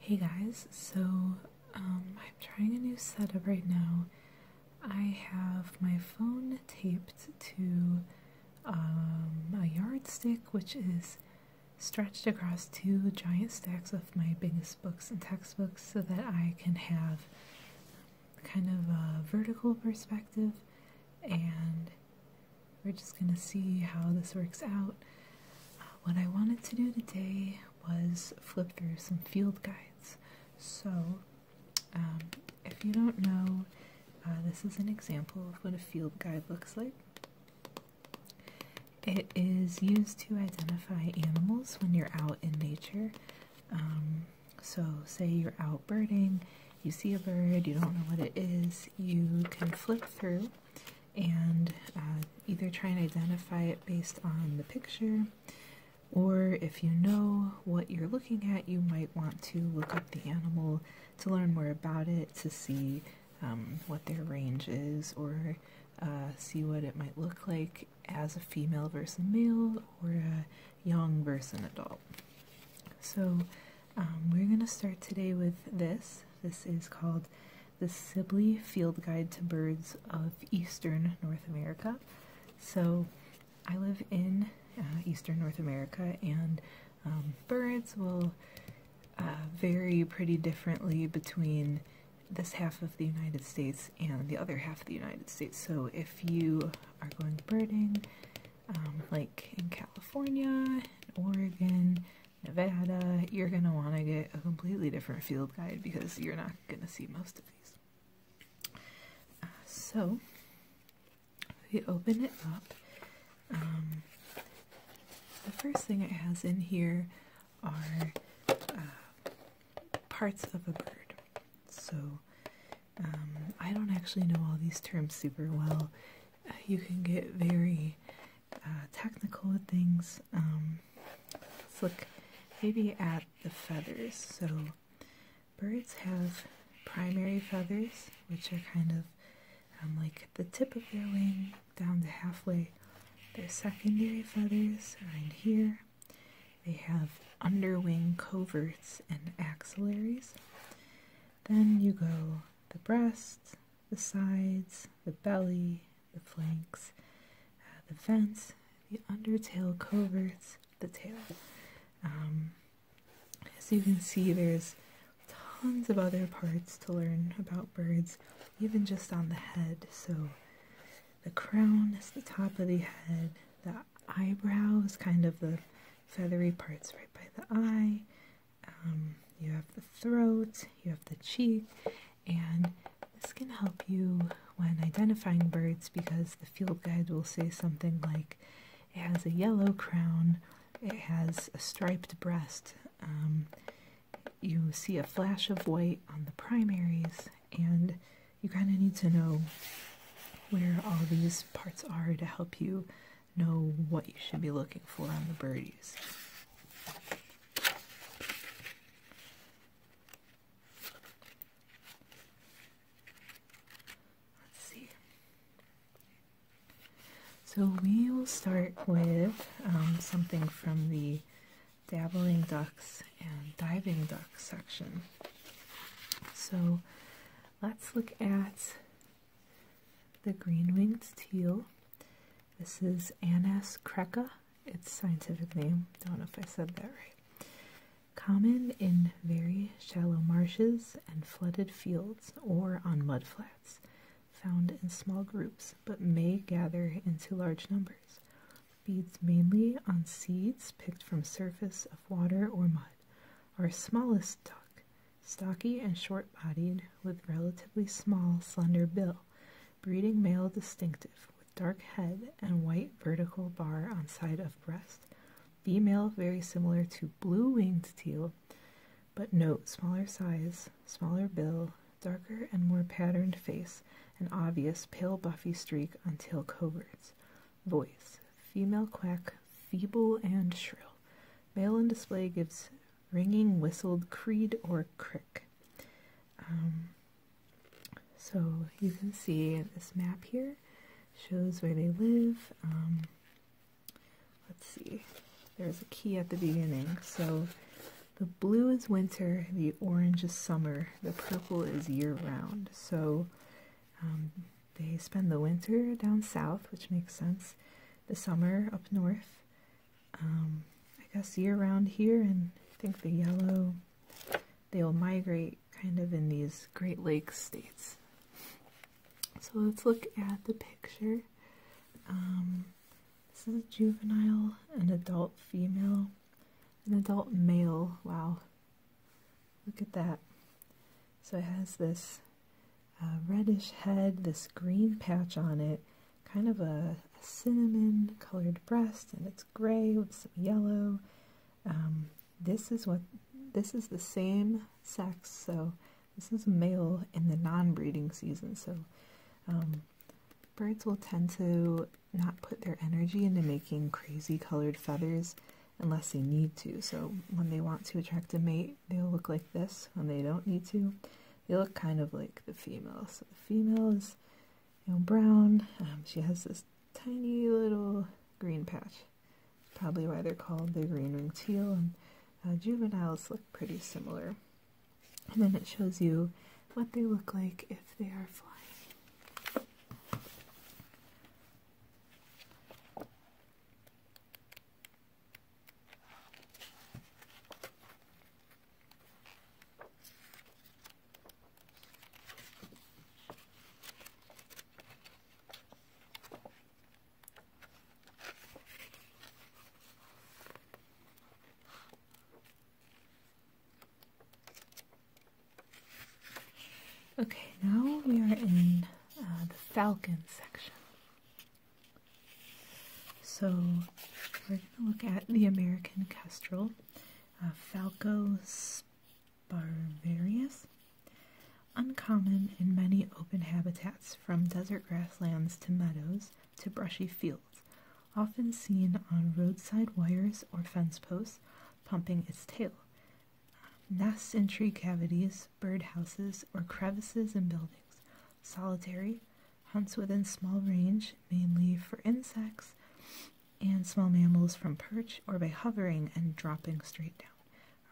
Hey guys, so um, I'm trying a new setup right now. I have my phone taped to um, a yardstick, which is stretched across two giant stacks of my biggest books and textbooks so that I can have kind of a vertical perspective and we're just gonna see how this works out. Uh, what I wanted to do today was flip through some field guides. So, um, if you don't know, uh, this is an example of what a field guide looks like. It is used to identify animals when you're out in nature. Um, so, say you're out birding, you see a bird, you don't know what it is, you can flip through and uh, either try and identify it based on the picture, or if you know what you're looking at, you might want to look up the animal to learn more about it, to see um, what their range is, or uh, see what it might look like as a female versus a male, or a young versus an adult. So um, we're going to start today with this. This is called the Sibley Field Guide to Birds of Eastern North America. So I live in uh, Eastern North America and um, birds will uh, vary pretty differently between this half of the United States and the other half of the United States. So if you are going birding, um, like in California, Oregon, Nevada, you're going to want to get a completely different field guide because you're not going to see most of these. Uh, so, we open it up. Um, the first thing it has in here are uh, parts of a bird. So, um, I don't actually know all these terms super well. Uh, you can get very uh, technical things. Um, let's look maybe at the feathers. So birds have primary feathers, which are kind of um, like the tip of their wing down to halfway. Their secondary feathers right here. They have underwing coverts and axillaries. Then you go the breast, the sides, the belly, the flanks, uh, the vents, the undertail coverts, the tail. Um, as you can see, there's tons of other parts to learn about birds, even just on the head. So the crown is the top of the head, the eyebrows, kind of the feathery parts right by the eye, um, you have the throat, you have the cheek, and this can help you when identifying birds because the field guide will say something like it has a yellow crown, it has a striped breast, um, you see a flash of white on the primaries, and you kind of need to know where all these parts are to help you know what you should be looking for on the birdies. Let's see. So we will start with um, something from the dabbling ducks and diving duck section. So let's look at the green winged teal. This is Anas creca, its scientific name. Don't know if I said that right. Common in very shallow marshes and flooded fields or on mudflats. Found in small groups but may gather into large numbers. Feeds mainly on seeds picked from surface of water or mud. Our smallest duck Stocky and short bodied, with relatively small, slender bill, breeding male distinctive, with dark head and white vertical bar on side of breast. Female very similar to blue winged teal, but note smaller size, smaller bill, darker and more patterned face, an obvious pale buffy streak on tail coverts. Voice female quack feeble and shrill. Male in display gives ringing, whistled creed or crick. Um, so you can see this map here shows where they live. Um, let's see, there's a key at the beginning. So the blue is winter, the orange is summer, the purple is year round. So um, they spend the winter down south, which makes sense, the summer up north. Um, I guess year round here, and I think the yellow, they'll migrate kind of in these Great Lakes states. So let's look at the picture. Um, this is a juvenile, an adult female, an adult male. Wow. Look at that. So it has this uh, reddish head, this green patch on it, kind of a, cinnamon colored breast, and it's gray with some yellow. Um, this is what this is the same sex, so this is male in the non-breeding season. So um, birds will tend to not put their energy into making crazy colored feathers unless they need to. So when they want to attract a mate, they'll look like this and they don't need to. They look kind of like the female. So the female is you know, brown. Um, she has this tiny little green patch. Probably why they're called the green ringed teal. And uh, juveniles look pretty similar. And then it shows you what they look like if they are flying. Okay, now we are in uh, the falcon section. So we're going to look at the American Kestrel, uh, Falco sparverius. uncommon in many open habitats from desert grasslands to meadows to brushy fields, often seen on roadside wires or fence posts, pumping its tail. Nests in tree cavities, birdhouses, or crevices in buildings. Solitary. Hunts within small range, mainly for insects and small mammals from perch or by hovering and dropping straight down.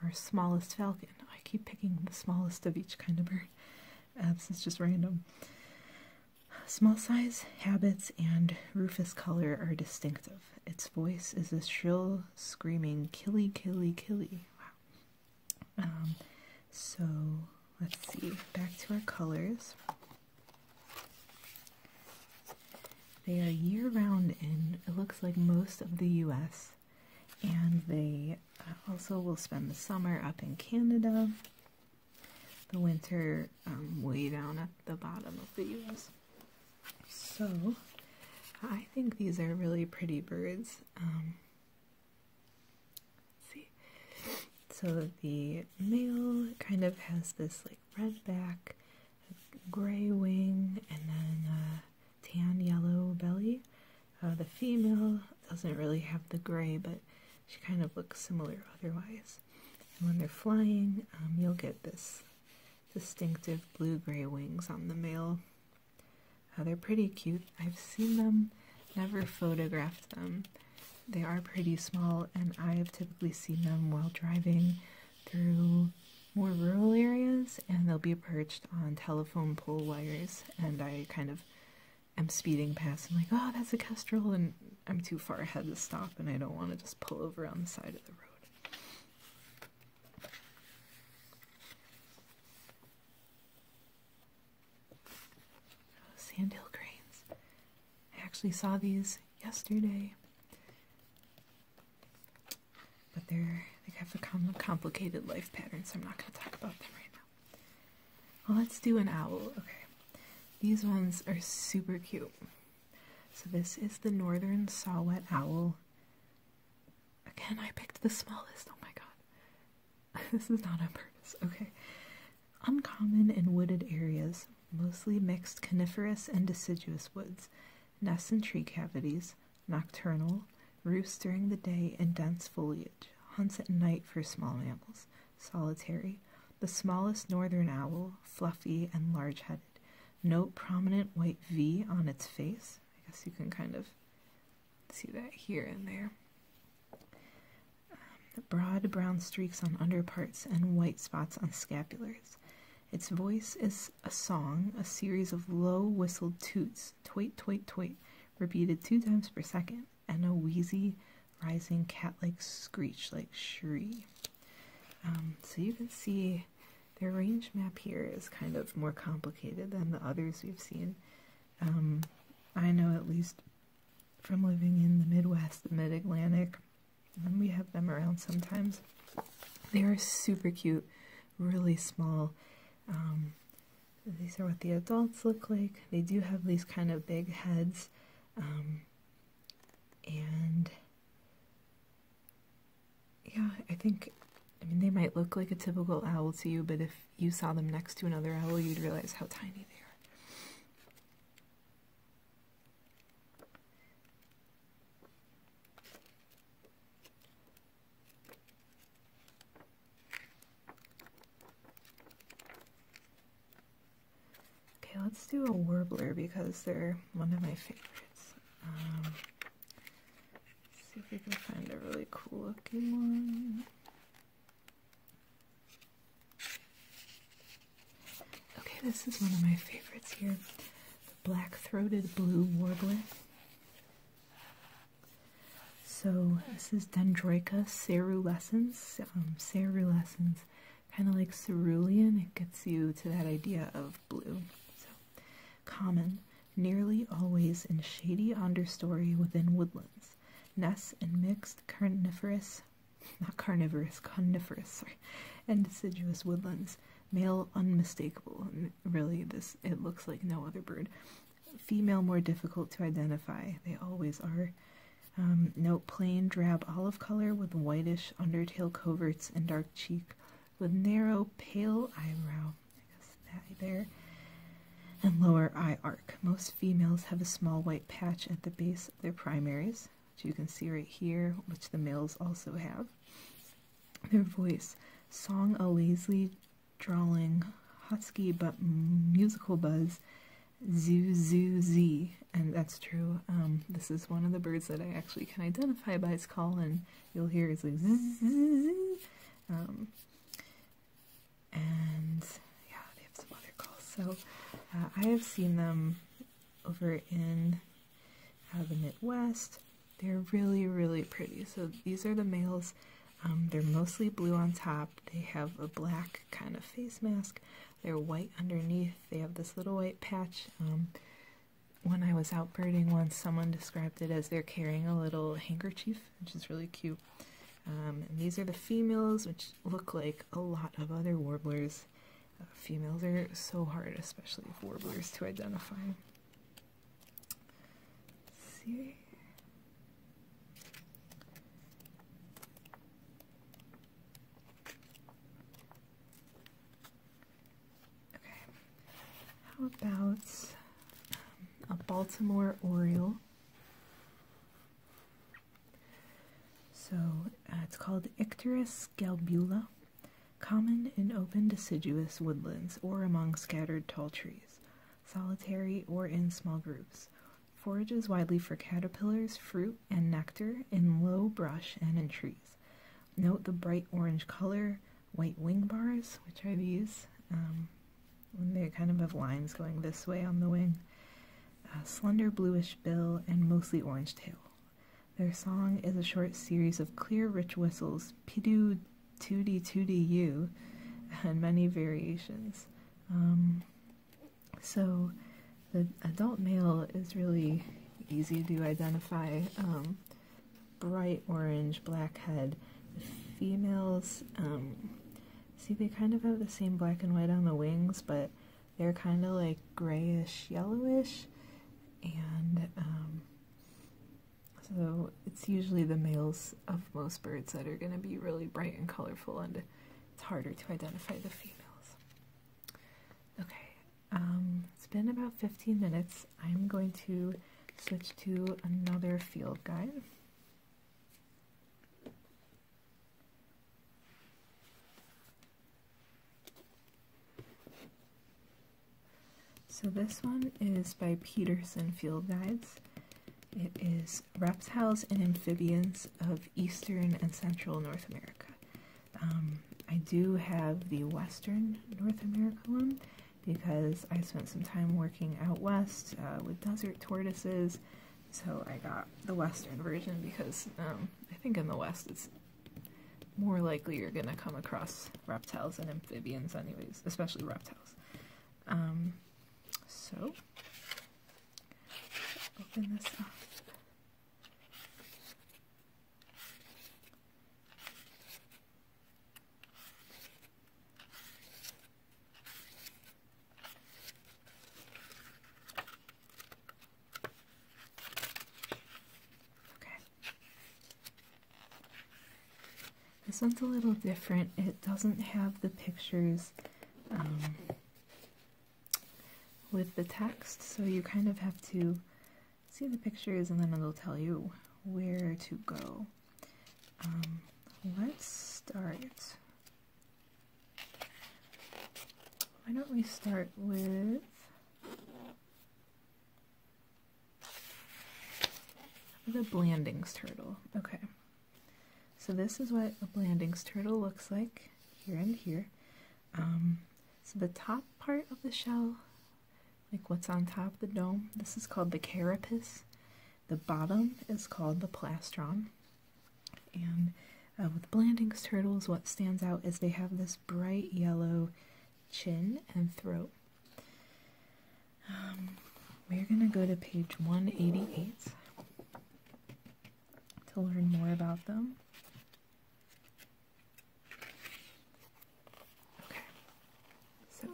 Our smallest falcon. I keep picking the smallest of each kind of bird. this is just random. Small size, habits, and rufous color are distinctive. Its voice is a shrill, screaming, killy, killy, killy. Um, so let's see, back to our colors. They are year round in, it looks like, most of the US, and they uh, also will spend the summer up in Canada, the winter um, way down at the bottom of the US. So, I think these are really pretty birds. Um, see. So the male kind of has this like red back, gray wing, and then a tan yellow belly. Uh, the female doesn't really have the gray, but she kind of looks similar otherwise. And when they're flying, um, you'll get this distinctive blue-gray wings on the male Oh, they're pretty cute. I've seen them, never photographed them. They are pretty small, and I have typically seen them while driving through more rural areas, and they'll be perched on telephone pole wires. And I kind of am speeding past, and like, oh, that's a kestrel, and I'm too far ahead to stop, and I don't want to just pull over on the side of the road sandhill cranes. I actually saw these yesterday. But they're they have a complicated life pattern, so I'm not gonna talk about them right now. Well, let's do an owl. Okay, these ones are super cute. So this is the northern saw-whet owl. Again, I picked the smallest. Oh my god. this is not on purpose. Okay. Uncommon in wooded areas, mostly mixed coniferous and deciduous woods, nests in tree cavities, nocturnal, roosts during the day in dense foliage, hunts at night for small mammals, solitary, the smallest northern owl, fluffy and large headed. Note prominent white V on its face. I guess you can kind of see that here and there. Um, broad brown streaks on underparts and white spots on scapulars. Its voice is a song, a series of low whistled toots, toit, toit, toit, repeated two times per second, and a wheezy, rising cat like screech like shree. Um, so you can see their range map here is kind of more complicated than the others we've seen. Um, I know at least from living in the Midwest, the Mid Atlantic, um, we have them around sometimes. They are super cute, really small. Um, these are what the adults look like. They do have these kind of big heads. and yeah, I think, I mean, they might look like a typical owl to you, but if you saw them next to another owl, you'd realize how tiny they are. Okay, let's do a warbler because they're one of my favorites. Um, see if we can find a really cool looking one. Okay, this is one of my favorites here the black throated blue warbler. So, this is Dendroica cerulescens. Um, kind of like cerulean, it gets you to that idea of blue. Common, nearly always in shady understory within woodlands. Nests in mixed coniferous, not carnivorous, coniferous, and deciduous woodlands. Male unmistakable. Really, this it looks like no other bird. Female more difficult to identify. They always are. Um, note plain drab olive color with whitish undertail coverts and dark cheek with narrow, pale eyebrow, there, and lower eye arc. Most females have a small white patch at the base of their primaries, which you can see right here, which the males also have. Their voice, song a lazily drawling, husky but musical buzz, zoo zoo zee, and that's true. Um, this is one of the birds that I actually can identify by its call and you'll hear is like zzz, zzz, um, and yeah, they have some other calls. So uh, I have seen them over in uh, the Midwest. They're really, really pretty. So these are the males. Um, they're mostly blue on top. They have a black kind of face mask. They're white underneath. They have this little white patch. Um, when I was out birding once, someone described it as they're carrying a little handkerchief, which is really cute. Um, these are the females, which look like a lot of other warblers. Uh, females are so hard, especially warblers, to identify. see. Okay, how about um, a Baltimore Oriole? So uh, it's called Icterus galbula, common in open deciduous woodlands or among scattered tall trees, solitary or in small groups. Forages widely for caterpillars, fruit, and nectar in low brush and in trees. Note the bright orange color, white wing bars, which are these. Um, and they kind of have lines going this way on the wing. slender bluish bill and mostly orange tail. Their song is a short series of clear rich whistles, pidu tooty tooty you, and many variations. Um, so the adult male is really easy to identify. Um, bright orange black head. females, um, see, they kind of have the same black and white on the wings, but they're kind of like grayish yellowish, and um, so it's usually the males of most birds that are going to be really bright and colorful, and it's harder to identify the females. Okay, um, it's been about 15 minutes. I'm going to switch to another field guide. So this one is by Peterson Field Guides. It is Reptiles and Amphibians of Eastern and Central North America. Um, I do have the Western North American one because I spent some time working out west uh, with desert tortoises, so I got the Western version because um, I think in the West it's more likely you're going to come across reptiles and amphibians anyways, especially reptiles. Um, so, open this up. Okay. This one's a little different. It doesn't have the pictures um, with the text, so you kind of have to see the pictures and then it'll tell you where to go. Um, let's start. Why don't we start with the Blandings turtle. Okay. So this is what a Blandings turtle looks like here and here. Um, so the top part of the shell, like what's on top of the dome, this is called the carapace. The bottom is called the plastron. And uh, with Blanding's turtles, what stands out is they have this bright yellow chin and throat. Um, we're going to go to page 188 to learn more about them. Okay. So,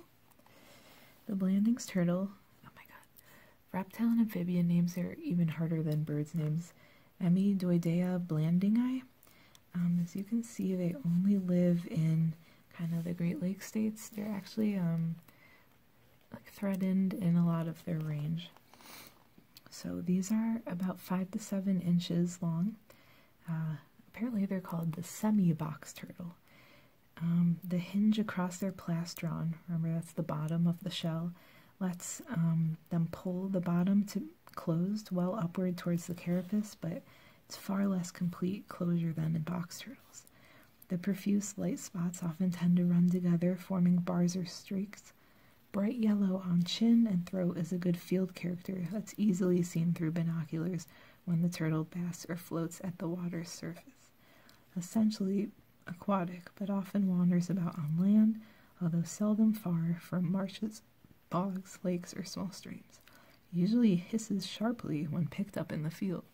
the Blandings turtle. Oh my god. Reptile and amphibian names are even harder than birds' names. Emmy Doidea blandingi. Um, as you can see, they only live in kind of the Great Lakes states. They're actually um, like threatened in a lot of their range. So these are about five to seven inches long. Uh, apparently, they're called the semi box turtle. Um, the hinge across their plastron, remember that's the bottom of the shell, lets um, them pull the bottom to closed well upward towards the carapace, but it's far less complete closure than in box turtles. The profuse light spots often tend to run together, forming bars or streaks, Bright yellow on chin and throat is a good field character that's easily seen through binoculars when the turtle basks or floats at the water's surface. Essentially aquatic, but often wanders about on land, although seldom far from marshes, bogs, lakes, or small streams. Usually hisses sharply when picked up in the field.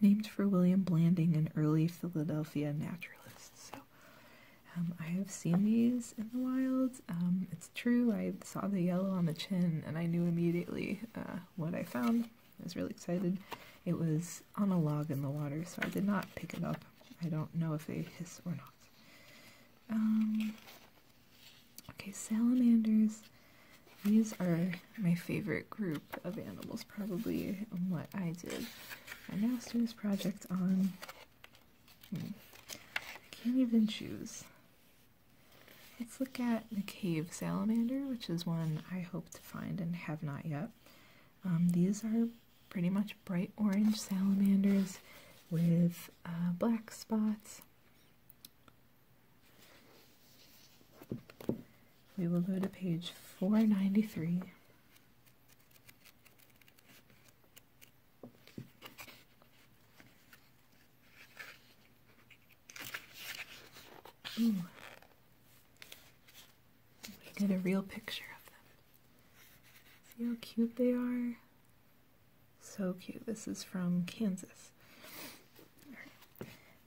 Named for William Blanding, an early Philadelphia naturalist. Um, I have seen these in the wild. Um, it's true, I saw the yellow on the chin and I knew immediately uh, what I found. I was really excited. It was on a log in the water, so I did not pick it up. I don't know if they hiss or not. Um, okay, salamanders. These are my favorite group of animals, probably, what I did my master's project on. I can't even choose. Let's look at the cave salamander, which is one I hope to find and have not yet. Um, these are pretty much bright orange salamanders with uh, black spots. We will go to page 493. Ooh. We a real picture of them. See how cute they are? So cute. This is from Kansas.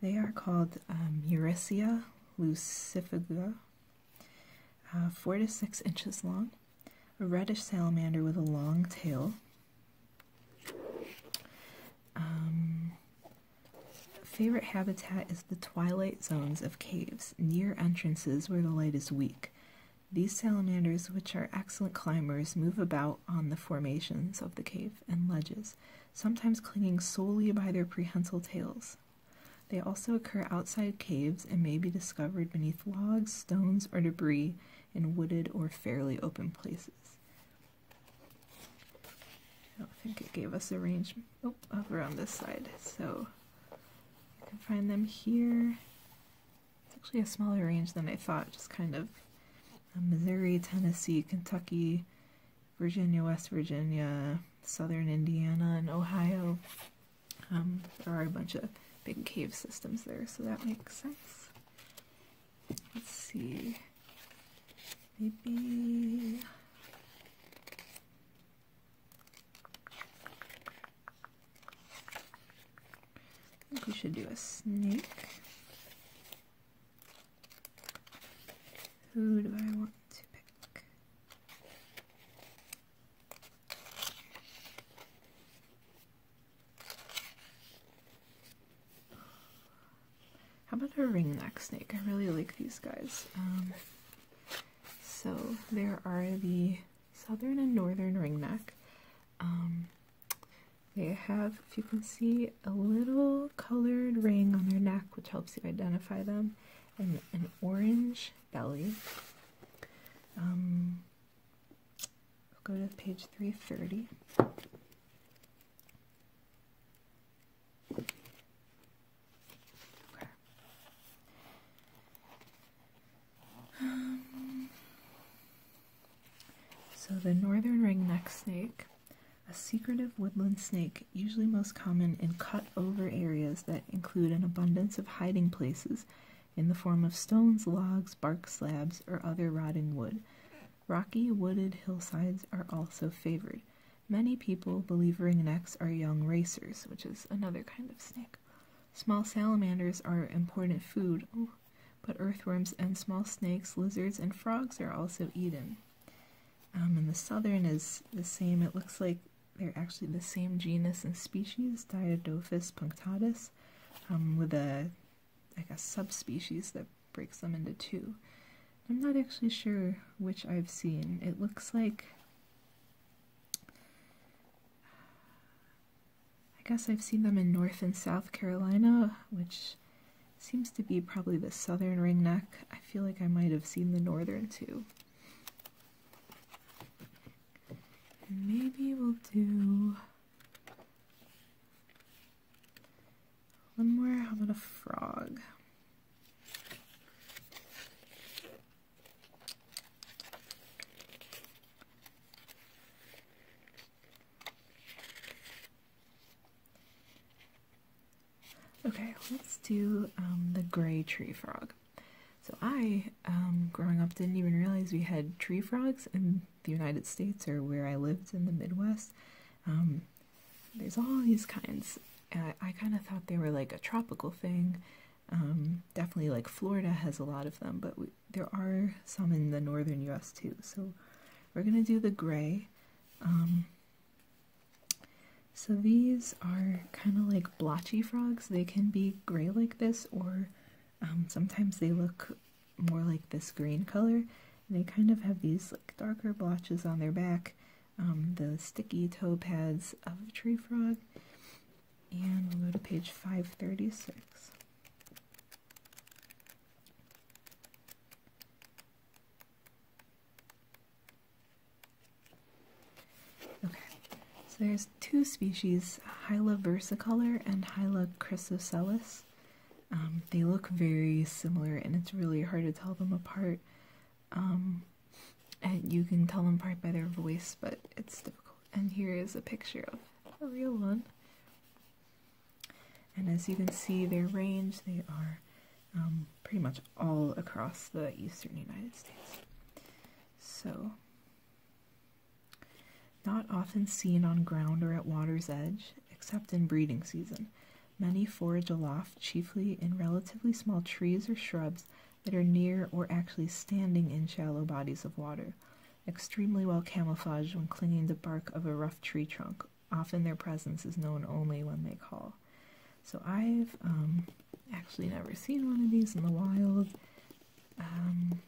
They are called um, lucifuga. Uh, four to six inches long, a reddish salamander with a long tail. Um, favorite habitat is the twilight zones of caves near entrances where the light is weak. These salamanders, which are excellent climbers, move about on the formations of the cave and ledges, sometimes clinging solely by their prehensile tails, they also occur outside caves and may be discovered beneath logs, stones, or debris in wooded or fairly open places. I don't think it gave us a range oh, over on this side, so you can find them here. It's actually a smaller range than I thought, just kind of uh, Missouri, Tennessee, Kentucky, Virginia, West Virginia, southern Indiana, and Ohio. Um, there are a bunch of big cave systems there, so that makes sense. Let's see. Maybe. I think we should do a snake. Who do I want to pick? How about a ringneck snake? I really like these guys. Um, so there are the southern and northern ringneck. Um, they have, if you can see, a little colored ring on their neck, which helps you identify them, and an orange belly. Um, go to page 330. Okay. Um, so the northern ringneck snake, a secretive woodland snake, usually most common in cut-over areas include an abundance of hiding places in the form of stones, logs, bark slabs, or other rotting wood. Rocky, wooded hillsides are also favored. Many people believe ringnecks are young racers, which is another kind of snake. Small salamanders are important food, but earthworms and small snakes, lizards, and frogs are also eaten. Um, and the southern is the same. It looks like they're actually the same genus and species, Diadophis punctatus, um, with a like a subspecies that breaks them into two. I'm not actually sure which I've seen. It looks like I guess I've seen them in North and South Carolina, which seems to be probably the southern ringneck. I feel like I might have seen the northern too. And maybe we'll do one more. How about a frog? Okay, let's do um, the gray tree frog. So I, um, growing up, didn't even realize we had tree frogs in the United States or where I lived in the Midwest. Um, there's all these kinds. I, I kind of thought they were like a tropical thing. Um, definitely like Florida has a lot of them, but there are some in the northern US too. So we're going to do the gray. So these are kind of like blotchy frogs. They can be gray like this, or um, sometimes they look more like this green color. they kind of have these like darker blotches on their back, um, the sticky toe pads of a tree frog. And we'll go to page 536. Okay, so there's two species, Hyla versicolor and Hyla chrysocelis. Um, they look very similar, and it's really hard to tell them apart. Um, and you can tell them apart by their voice, but it's difficult. And here is a picture of a real one. And as you can see, their range, they are um, pretty much all across the eastern United States. So, not often seen on ground or at water's edge, except in breeding season. Many forage aloft, chiefly in relatively small trees or shrubs that are near or actually standing in shallow bodies of water. Extremely well camouflaged when clinging to bark of a rough tree trunk. Often their presence is known only when they call. So I've um, actually never seen one of these in the wild. Um,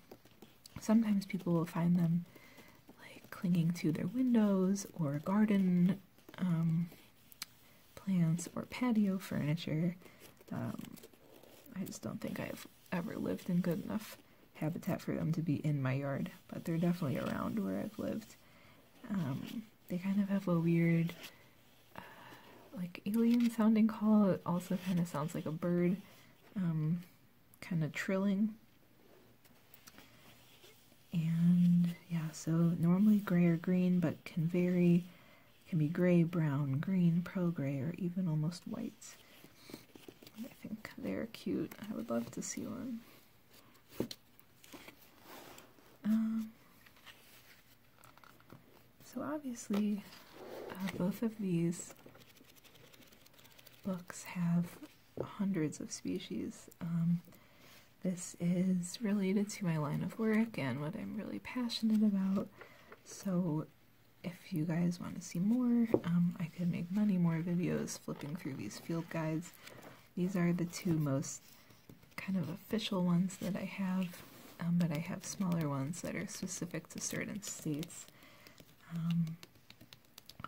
sometimes people will find them like clinging to their windows or garden um, plants or patio furniture. I just don't think I've ever lived in good enough habitat for them to be in my yard, but they're definitely around where I've lived. They kind of have a weird, uh, like alien sounding call. It also kind of sounds like a bird, um, kind of trilling. And yeah, so normally gray or green, but can vary. can be gray, brown, green, pearl gray, or even almost white. I think they're cute. I would love to see one. Um, so, obviously, uh, both of these books have hundreds of species. Um, this is related to my line of work and what I'm really passionate about. So, if you guys want to see more, um, I could make many more videos flipping through these field guides. These are the two most kind of official ones that I have, um, but I have smaller ones that are specific to certain states um,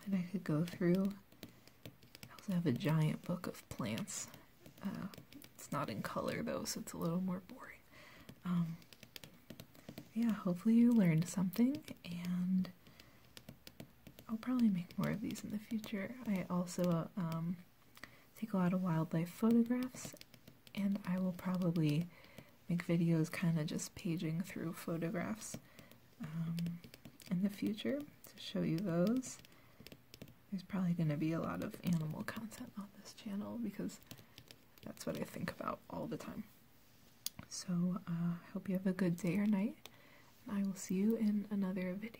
And I could go through. I also have a giant book of plants. Uh, it's not in color though, so it's a little more boring. Um, yeah, hopefully you learned something, and I'll probably make more of these in the future. I also, uh, take a lot of wildlife photographs, and I will probably make videos kind of just paging through photographs um, in the future to show you those. There's probably going to be a lot of animal content on this channel because that's what I think about all the time. So uh, I hope you have a good day or night, and I will see you in another video.